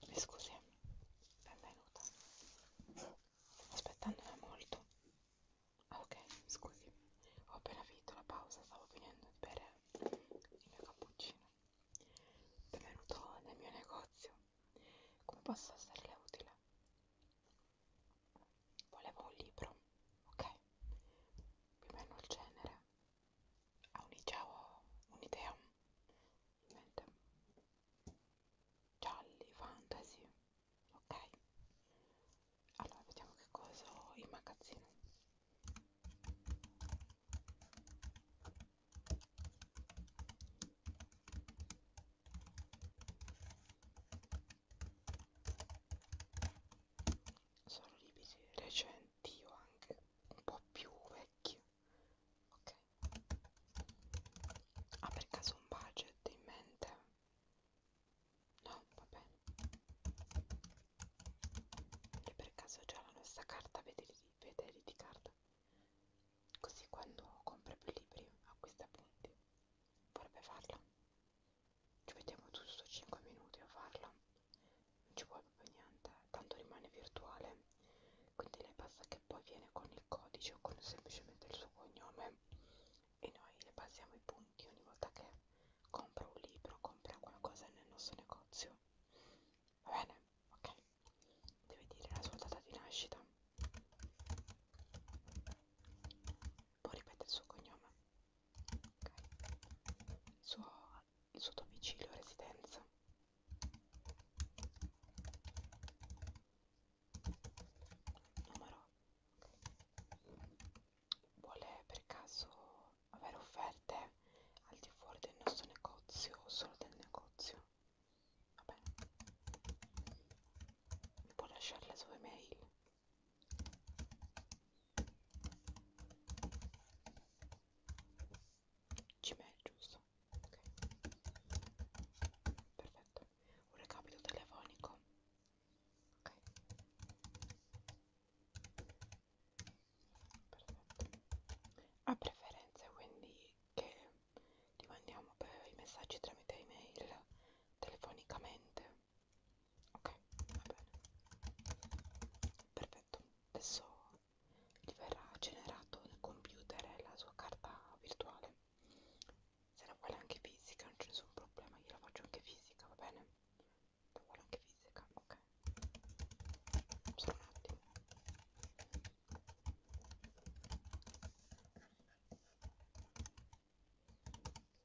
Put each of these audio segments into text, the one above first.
Mi eh, scusi, benvenuta. Stavo aspettandola molto. Ah, ok, scusi, ho appena finito la pausa, stavo finendo di bere il mio cappuccino. Benvenuto nel mio negozio. Come posso esserle utile? volevo un libro, ok? Più o meno il genere. Auni già ho un'idea in mente. Gialli, fantasy, ok? Allora vediamo che cosa ho in magazzino sono libri recenti o anche un po' più vecchi ok ha ah, per caso un budget in mente? no? va bene io per caso ho già la nostra carta Vederiti Card così quando compra più libri acquista punti vorrebbe farla ci mettiamo giusto 5 minuti a farla non ci vuole proprio niente tanto rimane virtuale quindi lei basta che poi viene con il codice o con semplicemente il suo cognome e noi le passiamo i punti ogni volta che compra un libro compra qualcosa nel nostro negozio va bene ok deve dire la sua data di nascita poi ripete il suo cognome, okay. il, suo, il suo domicilio, residenza. Numero. Vuole per caso avere offerte al di fuori del nostro negozio o solo del negozio? Va bene. Mi può lasciare la sua email? Gmail, giusto? Ok, perfetto. Un recapito telefonico. Ok, perfetto. A preferenze quindi che ti mandiamo per i messaggi tramite email telefonicamente ok va bene perfetto adesso gli verrà generato nel computer la sua carta virtuale se la vuole anche fisica non c'è nessun problema io la faccio anche fisica va bene la vuole anche fisica ok solo un attimo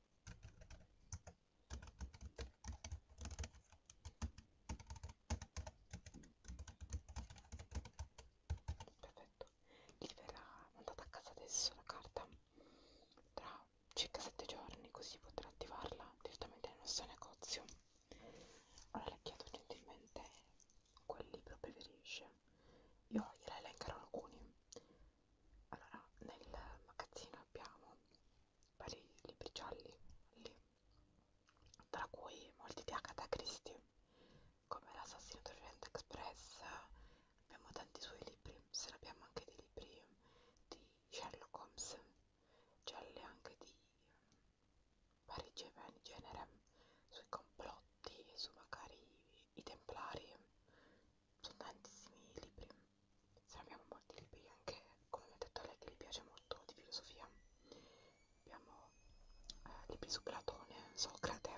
perfetto gli verrà mandata a casa adesso la carta tra circa 7 giorni così potrà attivarla direttamente nel nostro negozio ora le chiedo gentilmente quel libro preferisce io gliela elencherò alcuni allora nel magazzino abbiamo vari libri gialli lì, tra cui molti di Agatha Christie come l'assassino d'Orient Express abbiamo tanti suoi libri se ne abbiamo anche dei libri di Sherlock Holmes gialli anche di vari genere sui complotti su magari i templari sono tantissimi libri se abbiamo molti libri anche come mi ha detto lei che gli piace molto di filosofia abbiamo eh, libri su Platone, Socrate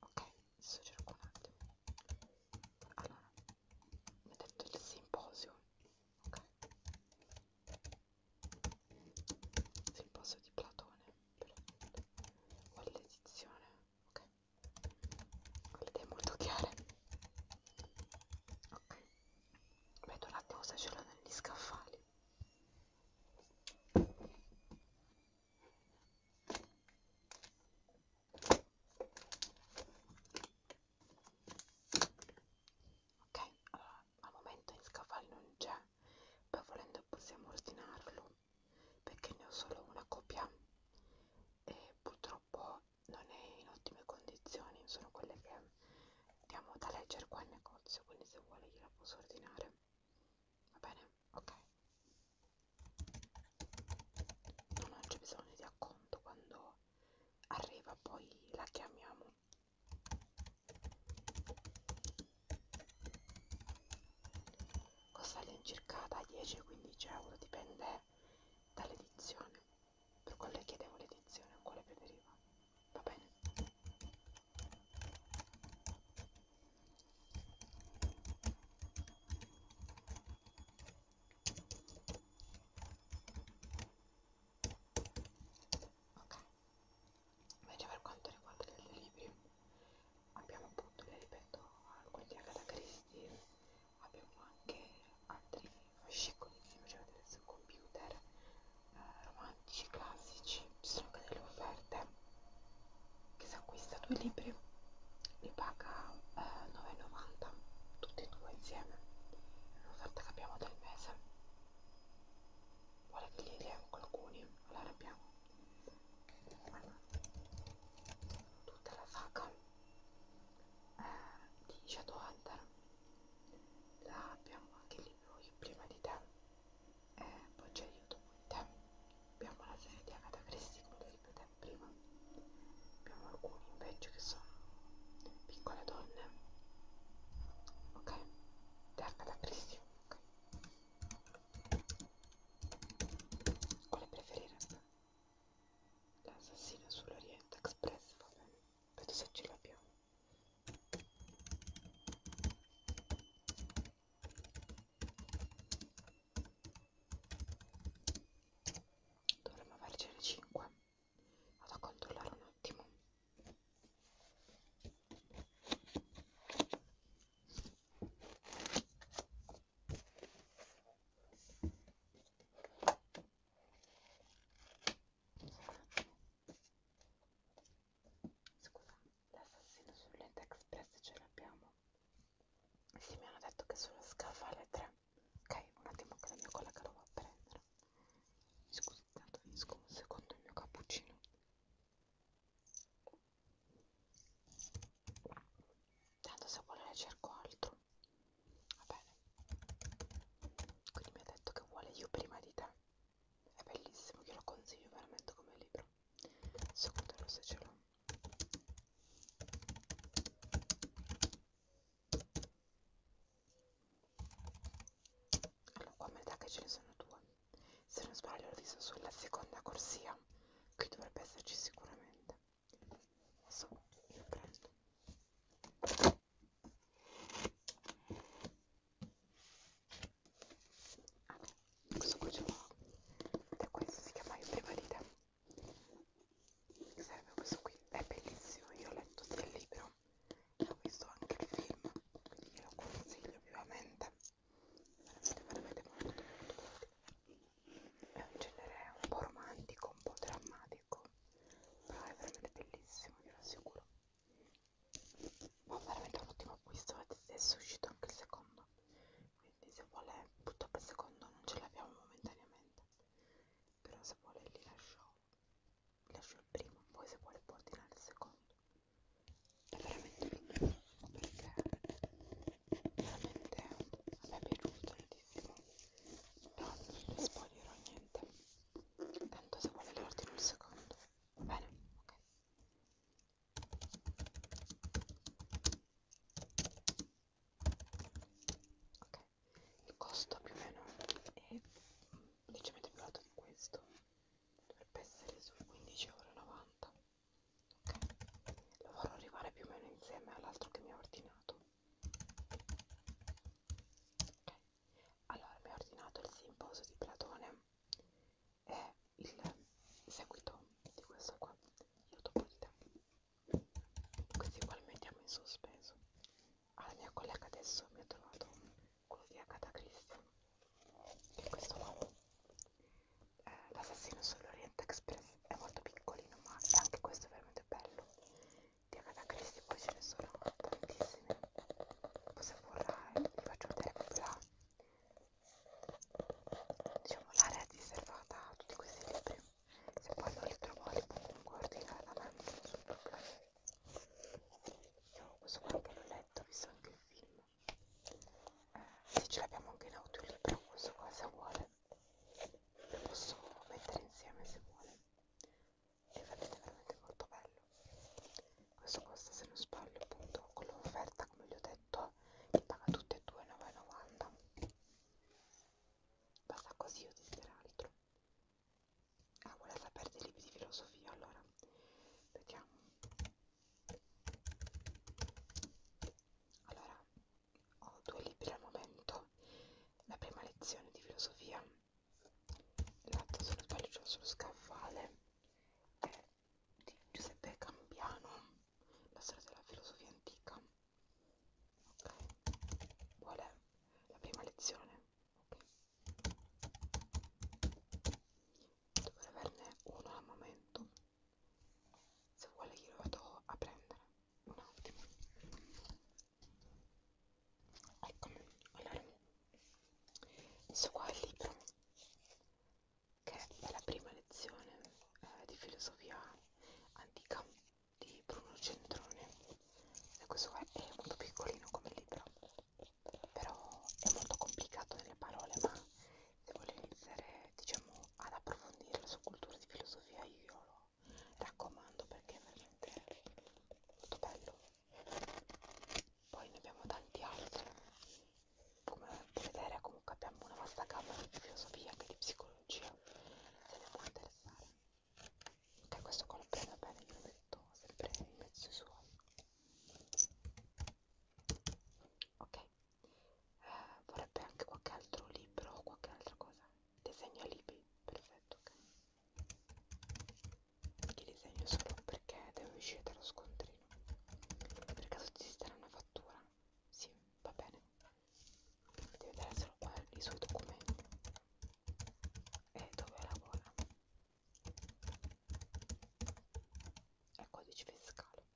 ok, adesso cerco un attimo allora, mi ha detto il simposio ok simposio di Platone per... o l'edizione ok con le idee molto chiare ok vedo un attimo se ce l'ho negli scaffali ok allora al momento in scaffali non c'è poi volendo possiamo ordinarlo perché ne ho solo una copia e purtroppo non è in ottime condizioni, sono quelle che diamo da leggere qua in negozio, quindi se vuole gliela posso ordinare. Va bene? Ok. No, non c'è bisogno di acconto quando arriva, poi la chiamiamo costa all'incirca da 10-15 euro dipende dall'edizione per quello chiedevo l'edizione quale preferiva va bene ok invece per quanto riguarda gli altri libri abbiamo appunto, le ripeto, alcuni di Agatha Christie, abbiamo anche altri fascicoli che faceva vedere sul computer, eh, romantici classici, ci sono anche delle offerte che si acquista due libri, li paga eh, 9,90 tutti e due insieme, un'offerta che abbiamo del mese, vuole che li diamo alcuni, allora abbiamo tutta la faca eh, di Shadowhunter la abbiamo anche lì io prima di te e eh, poi c'è aiuto con te abbiamo la serie di Agatha Christie come ti ripetevo prima abbiamo alcuni invece che sono piccole donne ok di Agatha Christie ok quale preferire sta? L'assassino sull'Oriente Express, vabbè, vedo se ce l'abbiamo. Dovremmo avercene 5. Vado a controllare un attimo. Scusa, l'assassino sull'Ente Express ce l'abbiamo? Sì, mi hanno detto che sulla scaffa alle 3. Ok, un attimo che la mia collega lo va a prendere. Scusi, tanto finisco un secondo il mio cappuccino tanto se vuole ne cerco altro va bene quindi mi ha detto che vuole io prima di te è bellissimo io lo consiglio veramente come libro secondo me se ce l'ho allora qua mi dà che ce ne sono due se non sbaglio l'ho visto sulla seconda corsia qui dovrebbe esserci sicuramente niente so io presto ah, questo qui ce l'ho ed è questo si chiama io prima di te serve questo qui è bellissimo io ho letto sia il libro e ho visto anche il film quindi glielo consiglio vivamente veramente veramente molto molto bello è un genere un po' romantico, un po' drammatico, però è veramente bellissimo, vi assicuro. Ma veramente un ottimo acquisto, è uscito anche il secondo, quindi se vuole, purtroppo il secondo non ce l'abbiamo momentaneamente, però se vuole li lascio, li lascio il primo, poi se vuole può ordinare il secondo. È veramente bello perché veramente a me è piaciuto tantissimo non vi spoglierò niente tanto se vuole l'ordine un secondo va bene? ok ok il costo più o meno è leggermente più alto di questo dovrebbe essere sui 15,90 euro lo farò arrivare più o meno insieme all'altro che mi ha ordinato ok allora mi ha ordinato il simposio di Platone e il seguito di questo qua io dopo di te questi qua li mettiamo in sospeso alla mia collega adesso mi ha trovato quello di Agatha Christie che è questo qua eh, l'assassino sull'Orient Express è molto piccolino ma anche questo è veramente bello di Agatha Christie poi ce ne sono tantissime poi se vorrà vi eh? faccio vedere proprio diciamo, la diciamo l'area riservata a tutti questi libri se poi non li trovo li può comunque ordinare da me sul proprio io questo qua che l'ho letto ho visto anche il film eh, sì ce l'abbiamo anche in audiolibro questo qua se vuole posso mettere insieme se vuole e vedete veramente molto bello questo costa se non sbaglio appunto con l'offerta come vi ho detto che paga tutte e due 9,90 basta così o desidera altro ah vuole sapere dei libri di filosofia allora vediamo allora ho due libri al momento la prima lezione di filosofia l'altra se non sbaglio c'è sullo scaffale è di Giuseppe Cambiano la storia della filosofia antica ok vuole la prima lezione ok dovrei averne uno al momento se vuole glielo vado a prendere un attimo eccomi allora questo qua è il libro che è la prima lezione eh, di filosofia antica di Bruno Centrone e questo qua è molto piccolino come libro però è molto complicato nelle parole ma se volete iniziare diciamo ad approfondire la sua cultura di filosofia io lo raccomando perché è veramente molto bello poi ne abbiamo tanti altri come potete vedere comunque abbiamo una vasta gamma di filosofia anche di psicologia se ne può interessare ok questo qua lo prendo bene io lo metto sempre in mezzo ai suoi ok eh, vorrebbe anche qualche altro libro o qualche altra cosa disegna libri perfetto ok li disegno solo perché deve uscire dallo scontrino per caso ti sarà una fattura sì va bene devi vedere solo qua i suoi documenti e dove lavora è codice fiscale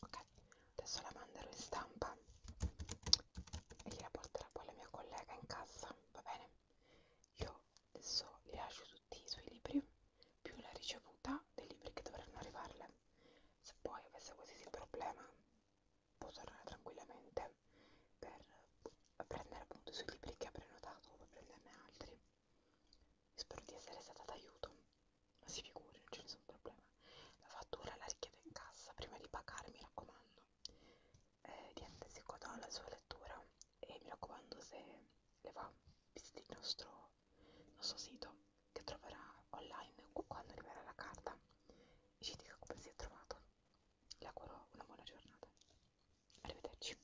Ok, adesso la manderò in stampa e gliela porterà poi la mia collega in casa, va bene? Io adesso le lascio tutti i suoi libri, più la ricevuta dei libri che dovranno arrivarle. Se poi avesse qualsiasi problema può tornare tranquillamente per prendere appunto i suoi libri che ha prenotato o per prenderne altri Spero di essere stata d'aiuto, ma si figuri, non c'è nessun problema. La fattura la richiedo in cassa prima di pagare, mi raccomando. Eh, niente, si godò la sua lettura e mi raccomando se le va, visiti il nostro, il nostro sito che troverà online quando arriverà la carta e ci dica come si è trovato. Le auguro una buona giornata. Arrivederci.